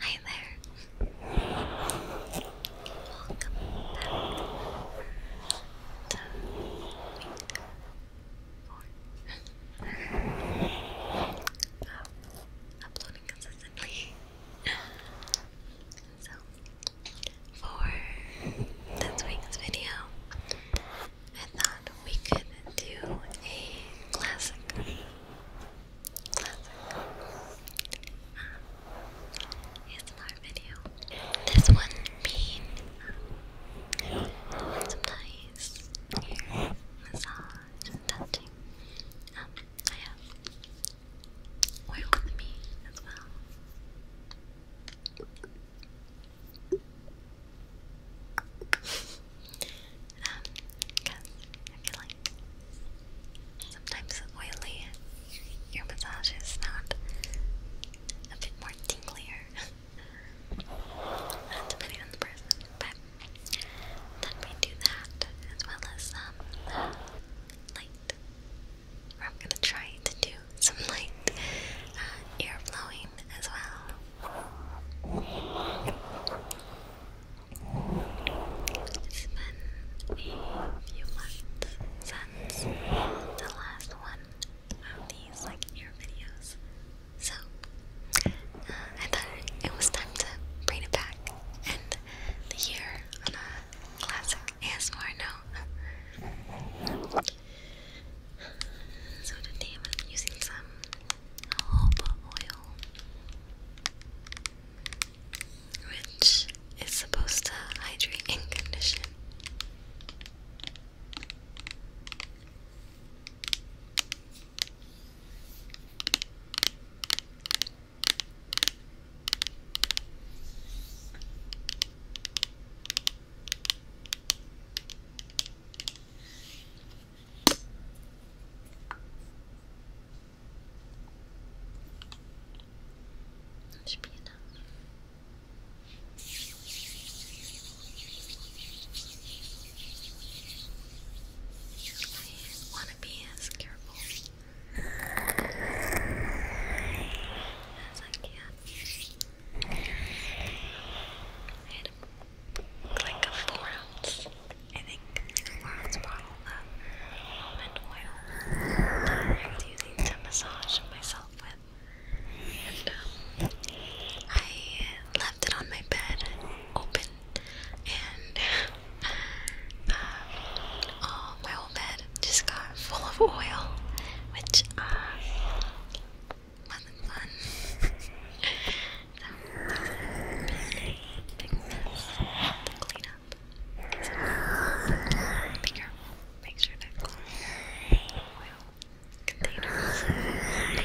Hi there. Welcome back to oh, week four of uploading consistently. So, for this week's video, I thought we could do a classic. Classic. Uh, video. This one being um, some nice massage and touching. Um, I have oil with me as well. Um, because I feel like sometimes oily your massage is not a bit more tinglier. depending on the person. But then we do that as well as um light. I'm gonna try to do some light ear uh, blowing as well. It's been a few months since the last one of these like ear videos, so uh, I thought it was time to bring it back and the on a classic ASMR note. So today I'm using some jojoba oil, which is supposed to hydrate and condition. That should I want to be as careful as I can. And like a four ounce, I think, four ounce bottle of almond oil that I was using to massage myself with. And um, I left it on my bed open, and uh, oh, my whole bed just got full of oil, which uh, wasn't fun. so, big mess to clean up. So, be careful. Make sure to close your oil containers. Okay.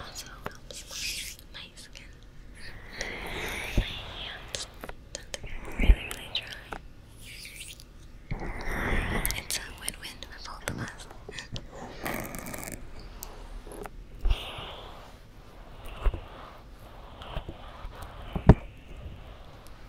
also helps my, skin. My hands don't really, really dry. It's a win-win for both of us.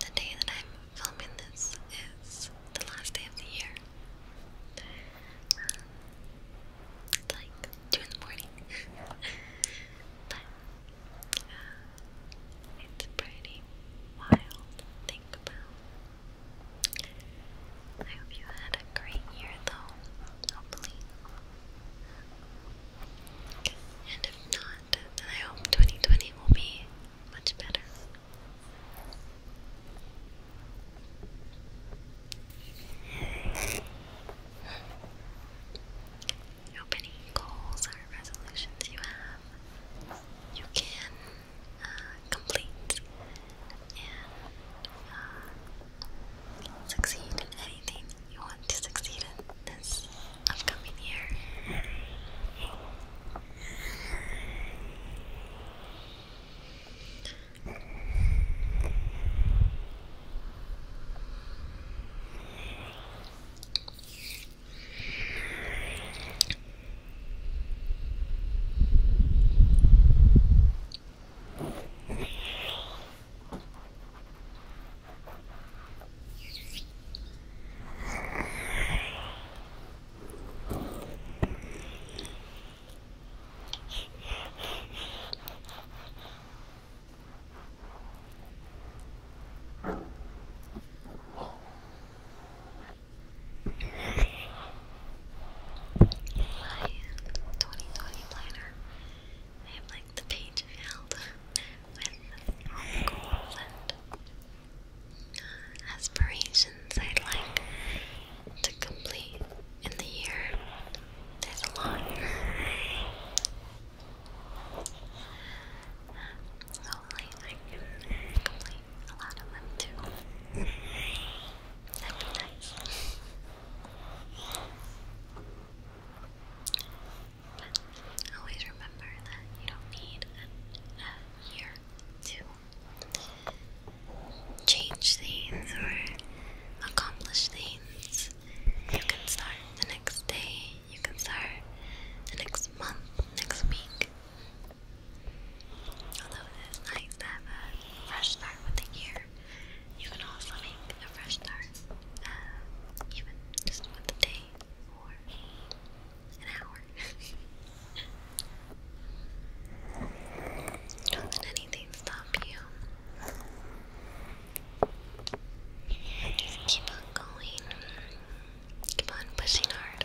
The day that I'm filming this is the last day of the year. it's um, like 2 in the morning. but uh, it's pretty wild think about. I hope you had a great year though. Hopefully. And if not, then I hope 2020 will be much better. I goals or resolutions you have, you can uh, complete and uh, succeed in anything you want to succeed in this upcoming year. My 2020 I have like the page filled with goals and aspirations I'd like to complete in the year. There's a lot. Hopefully, I can complete a lot of them too. That'd be nice. Always remember that you don't need a, year to change things or accomplish things. You can start the next day, you can start the next month, next week. Although it is nice to have a fresh start with the year. You can also make a fresh start, um, even just with a day or an hour. Don't let anything stop you. Just keep on going. Keep on pushing hard.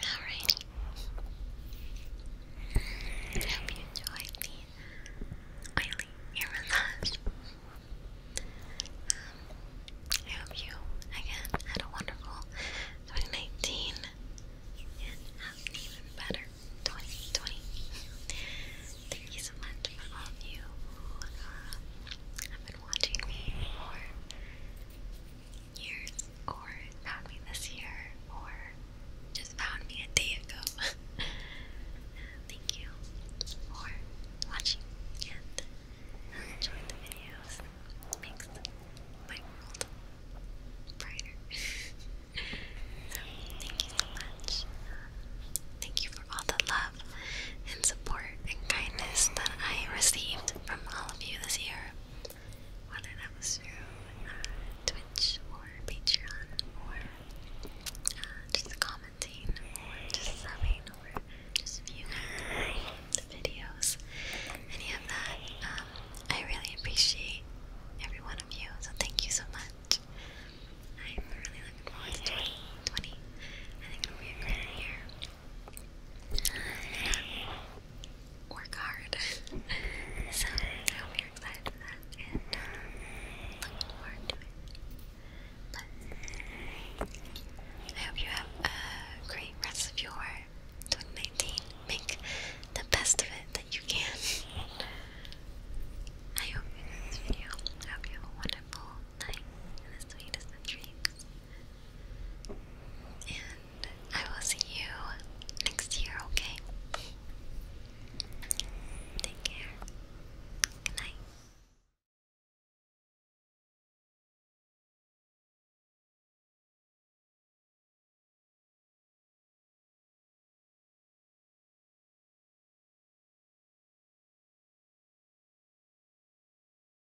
Alrighty. I hope you enjoyed the I hope you, again, had a wonderful 2019 and even better 2020. Thank you so much for all of you who uh, have been watching me years or found me this year or just found me a day ago. Thank you for watching and enjoying the videos. makes my world brighter. thank you so much. Thank you for all the love and support and kindness that I received from all of you this year whether that was through uh, Twitch or Patreon or uh, just commenting or just subbing or just viewing the videos, any of that. Um, I really appreciate every one of you, so thank you so much. I'm really looking forward to 2020. I think it'll be a great year work hard. so I hope you're excited for that and uh, looking But I hope you have a great rest of your 2019. Make the best of it that you can. I hope you enjoyed I hope you have a wonderful night and the sweetest of dreams. And I will see you next year, okay? Take care. Good night.